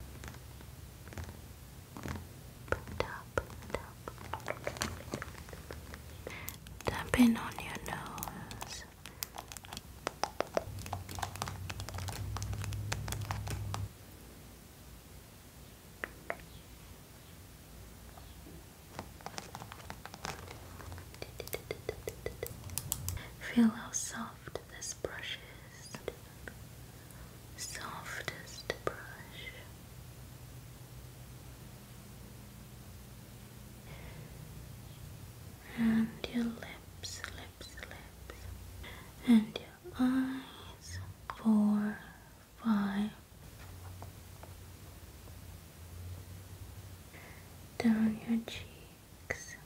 Put up, put on your nose. Feel how soft this brush is. Softest brush. And your lips, lips, lips. And your eyes. Four, five. Down your cheeks.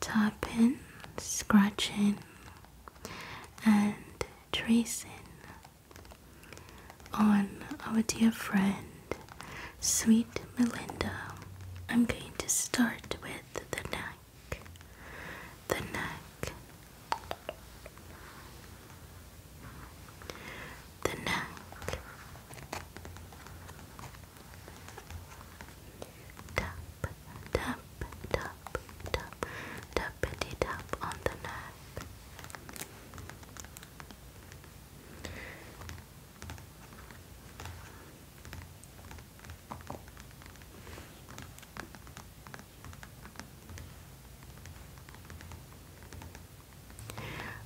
tapping, scratching, and tracing on our dear friend, sweet Melinda. I'm going to start with the neck. The neck. The neck. Tap, tap, tap, tap, tappity tap on the nerve.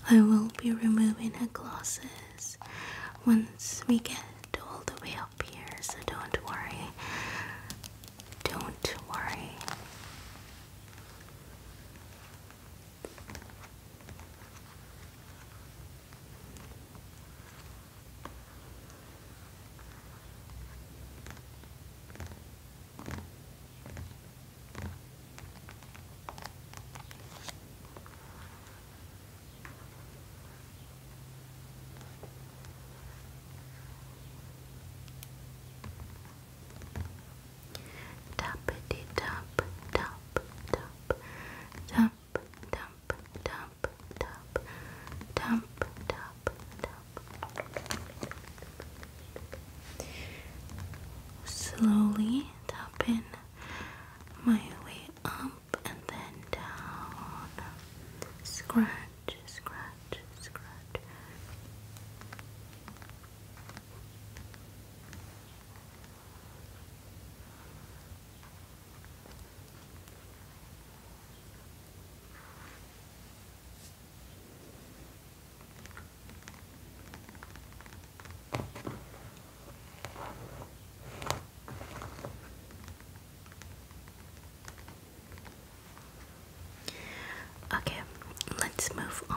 I will be removing her glasses once we get all the way up here, so don't worry. Don't worry. Tappity tap tap tap tap tap tap tap tap tap tap Slowly tap in my way up and then down. Scratch, scratch, scratch. Okay, let's move on.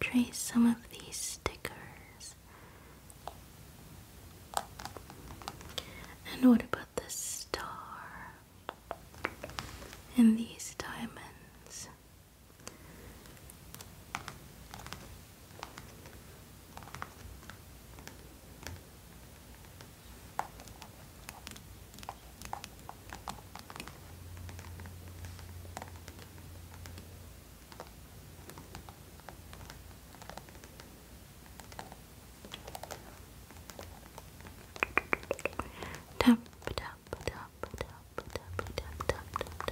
trace some of these stickers. And what about the star? And these diamonds. Tap, tap, tap, tap, tap, tap, tap, tap.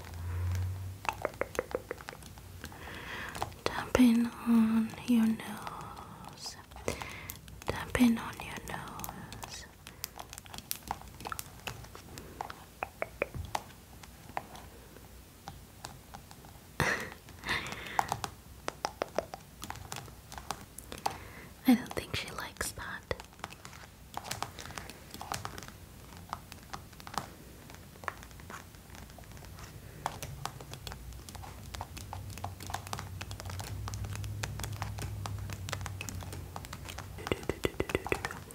Tapping on your nose. Tapping on your nose. I don't think she likes that.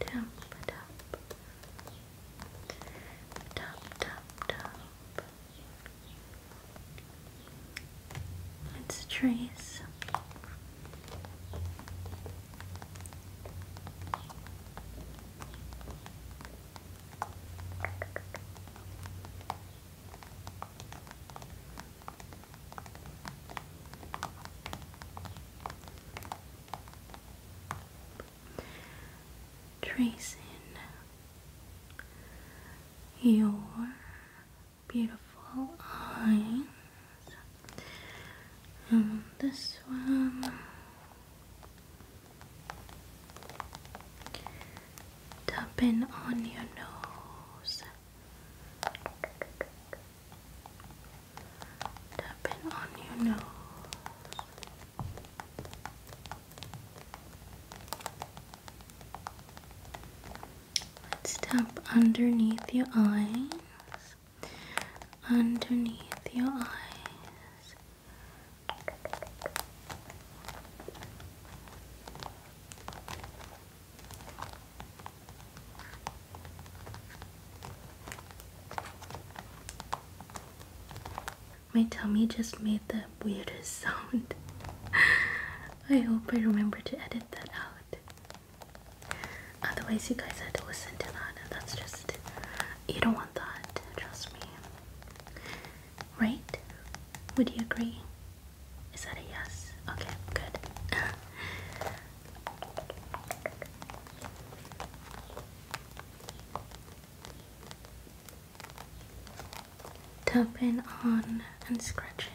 Tap, tap, tap, tap, tap. Let's trace Tracing your beautiful eyes. And this one. Tapping on your nose. Tapping on your nose. Let's tap underneath your eyes underneath your eyes. My tummy just made the weirdest sound. I hope I remember to edit that out. Otherwise, you guys had to listen to that, and that's just. You don't want that, trust me. Right? Would you agree? Is that a yes? Okay, good. Tapping on and scratching.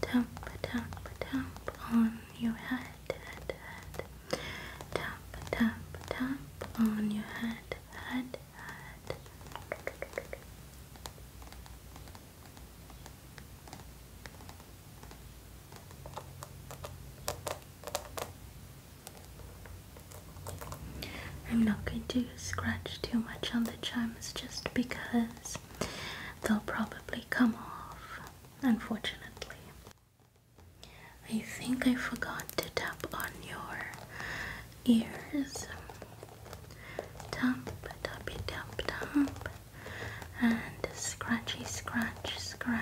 Dump, dump, dump on your head, head, head. Dump, dump, dump on your head, head, head. I'm not going to scratch too much on the chimes just because they'll probably come off, unfortunately. I think I forgot to tap on your ears. Tap, tap, tap, tap and scratchy scratch scratch.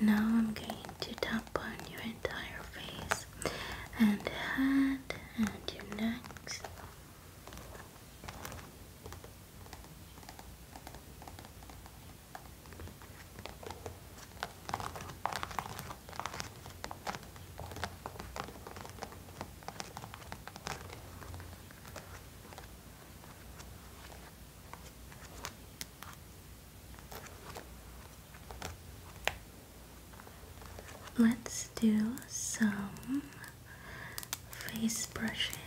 Now I'm going to tap on your entire face and head and your necks. Let's do some face brushing.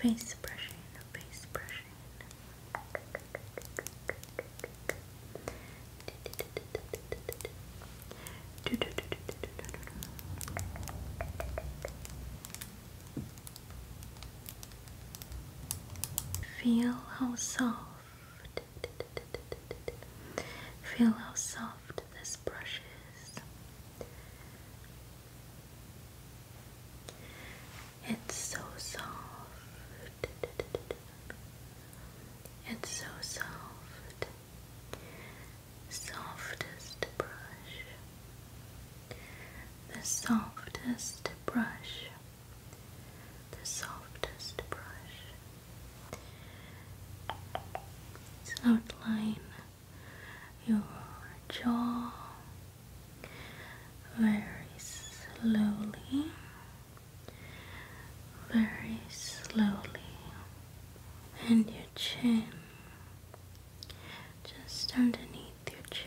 Face brushing, face brushing. Feel how soft, feel how soft this brush is. It's so soft. It's so soft. Softest brush. The softest brush. The softest brush. It's outline your jaw very slowly very slowly, and your chin just underneath your chin.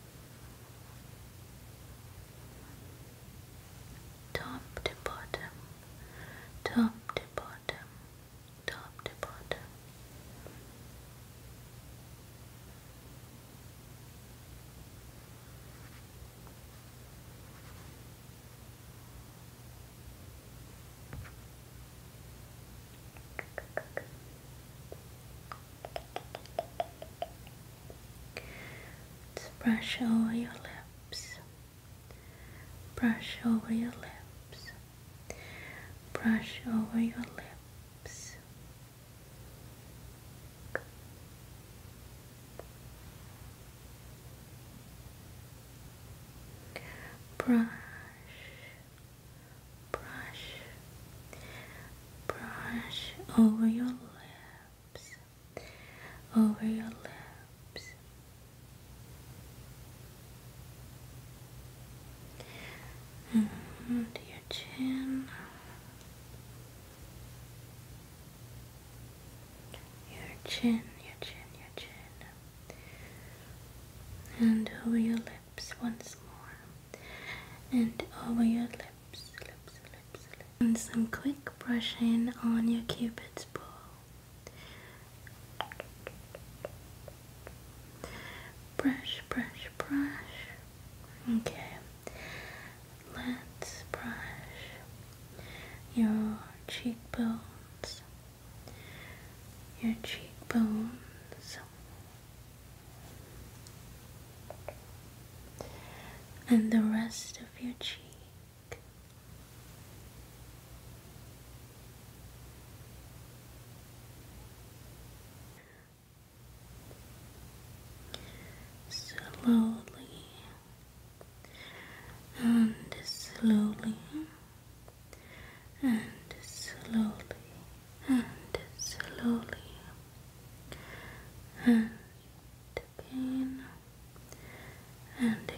top to bottom, top to bottom, top to bottom brush over your lips. Brush over your lips. Brush over your lips. Brush brush, brush over your lips, over your lips. And mm-hmm, your chin, your chin, your chin, your chin, and over your lips once more and over your lips, lips, lips, lips. And some quick brushing on your cupid's bow. Brush, brush, brush. Okay, let's brush your cheekbones, your cheekbones, and the rest of your cheek. Slowly and slowly and slowly and slowly and again and again.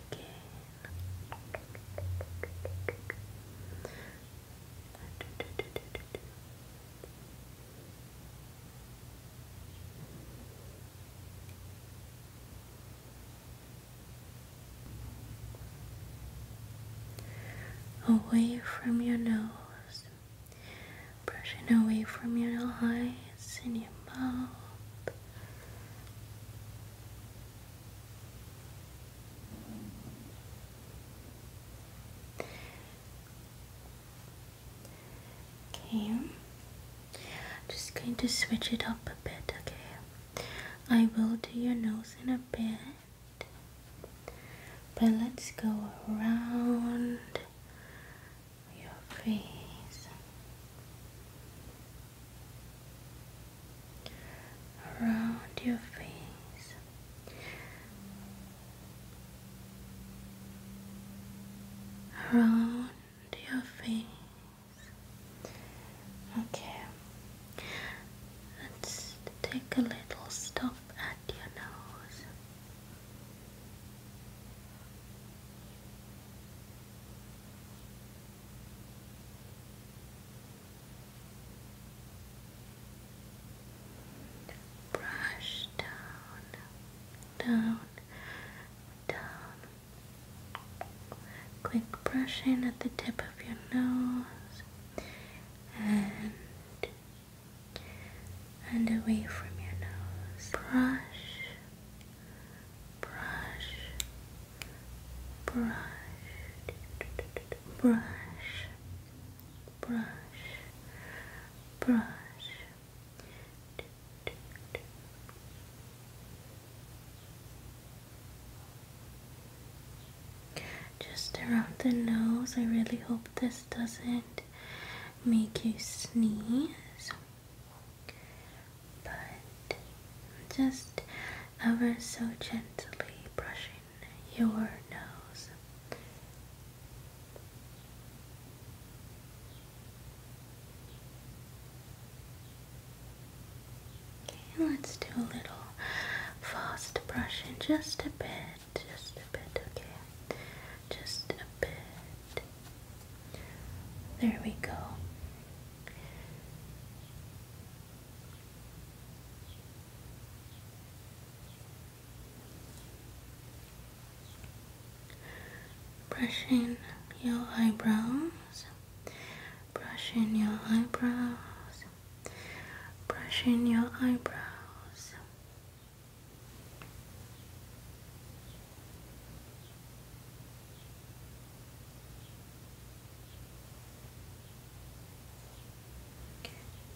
Away from your nose brushing away from your eyes and your mouth. Okay, just going to switch it up a bit, okay? I will do your nose in a bit. But let's go around your face, around your face. Around your face. Okay, let's take a little stop your nose. Brush down, down, down. Quick brushing at the tip of your nose and and away from your nose. Brush, brush, brush, brush, brush, brush just around the nose. I really hope this doesn't make you sneeze, but just ever so gently brushing your nose. Okay, let's do a little fast brushing, just a bit just a bit, okay? Just a bit. There we go. Brushing your eyebrows, brushing your eyebrows, brushing your eyebrows.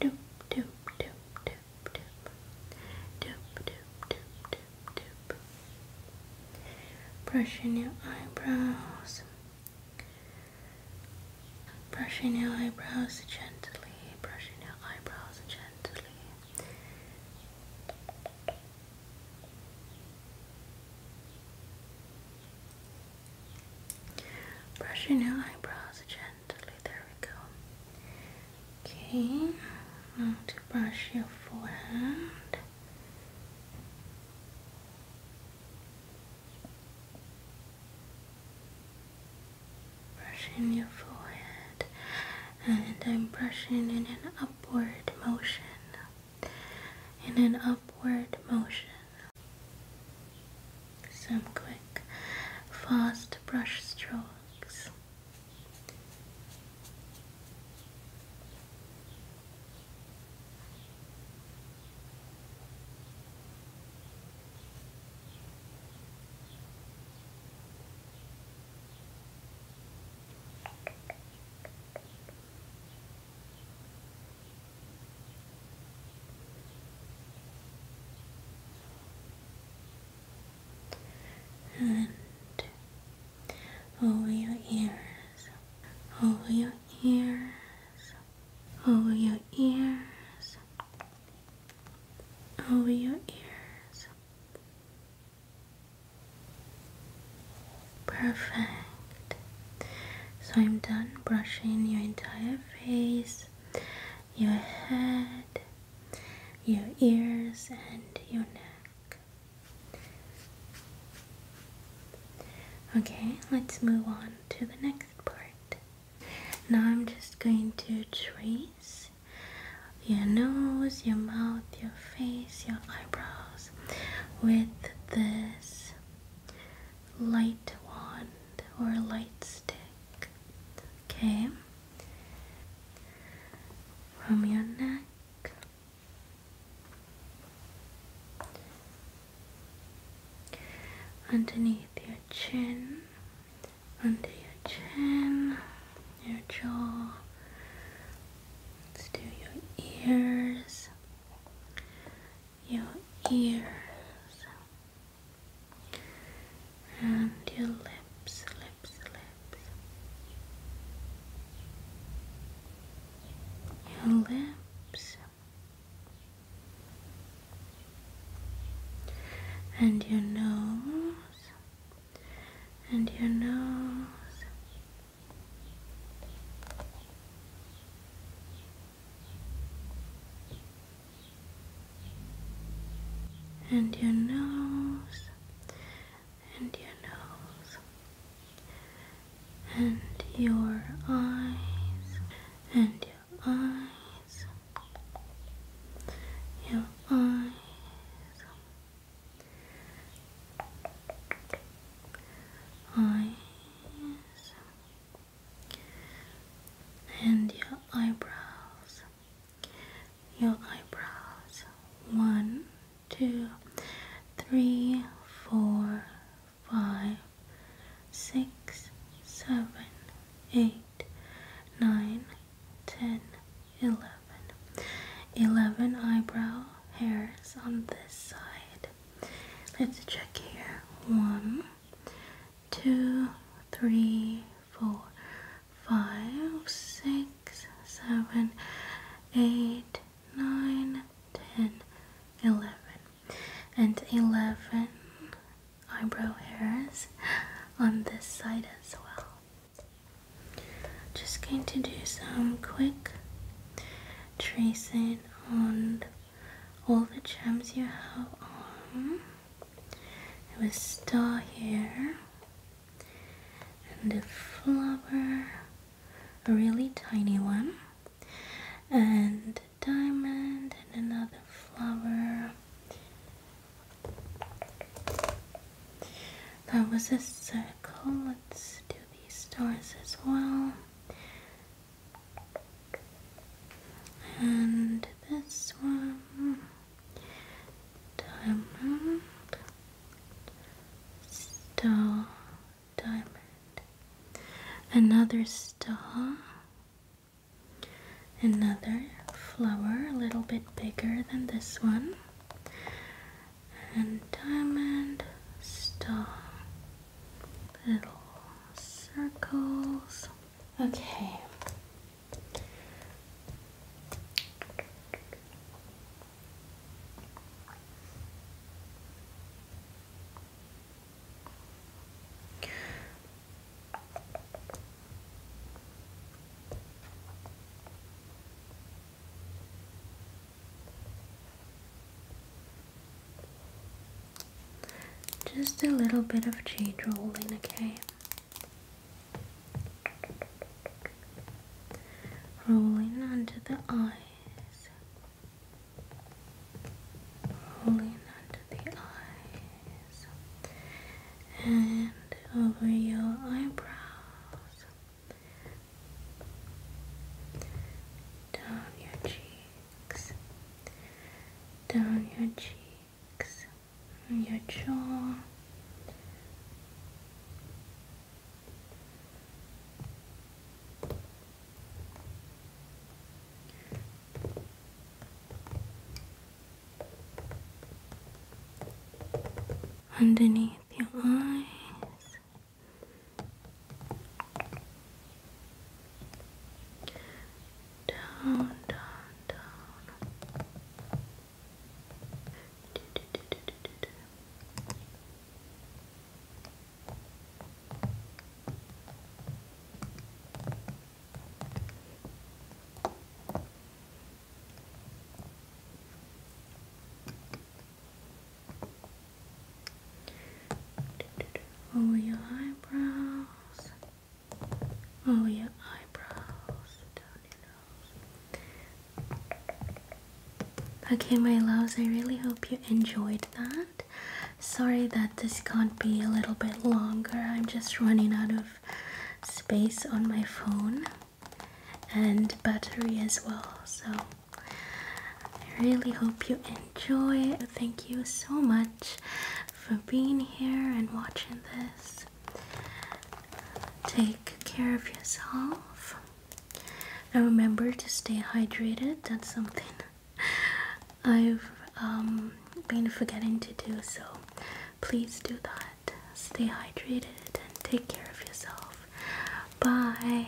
Doop doop doop doop doop doop doop doop doop doop brushing your eyebrows Brushing your eyebrows gently, brushing your eyebrows gently. Brushing your eyebrows gently, there we go. Okay, now to brush your forehead brushing your forehead and I'm brushing in an upward motion in an upward motion some quick fast brush strokes and over your ears, over your ears, over your ears, over your ears. Perfect. So I'm done brushing your entire face, your head, your ears, and your neck. Okay, let's move on to the next part. Now I'm just going to trace your nose, your mouth, your face, your eyebrows with this light wand or light stick. Okay? From your neck underneath your chin, under your chin, your jaw. Let's do your ears, your ears, and your lips, lips, lips. Your lips, and your nose and your nose and your nose and your nose and your eyes and your eyes, your eyes. Eyes and your eyebrows, your eyebrows one, two, three, four, five, six, seven, eight, nine, ten, eleven. Eleven eyebrow hairs on this side. Let's check here. One, two, three, four, five, six, seven, eight, nine, ten, eleven and 11 eyebrow hairs on this side as well. Just going to do some quick tracing on all the gems you have on. It was star here and a flower, a really tiny one, and a diamond and another flower. That was a circle. Let's do these stars as well. And this one, diamond, star, diamond, another star, Another flower, a little bit bigger than this one, and diamond star, little circles. Okay. Just a little bit of jade rolling, okay? Rolling onto the eyes. Rolling under the eyes and over your eyebrows, down your cheeks, down your cheeks, your jaw underneath your eyes. Down, down, down. Over your eyebrows, over your eyebrows, down your nose. Okay, my loves, I really hope you enjoyed that. Sorry that this can't be a little bit longer. I'm just running out of space on my phone and battery as well. So I really hope you enjoy. Thank you so much for being here and watching this. Take care of yourself. And remember to stay hydrated. That's something I've um, been forgetting to do so. Please do that. Stay hydrated and take care of yourself. Bye.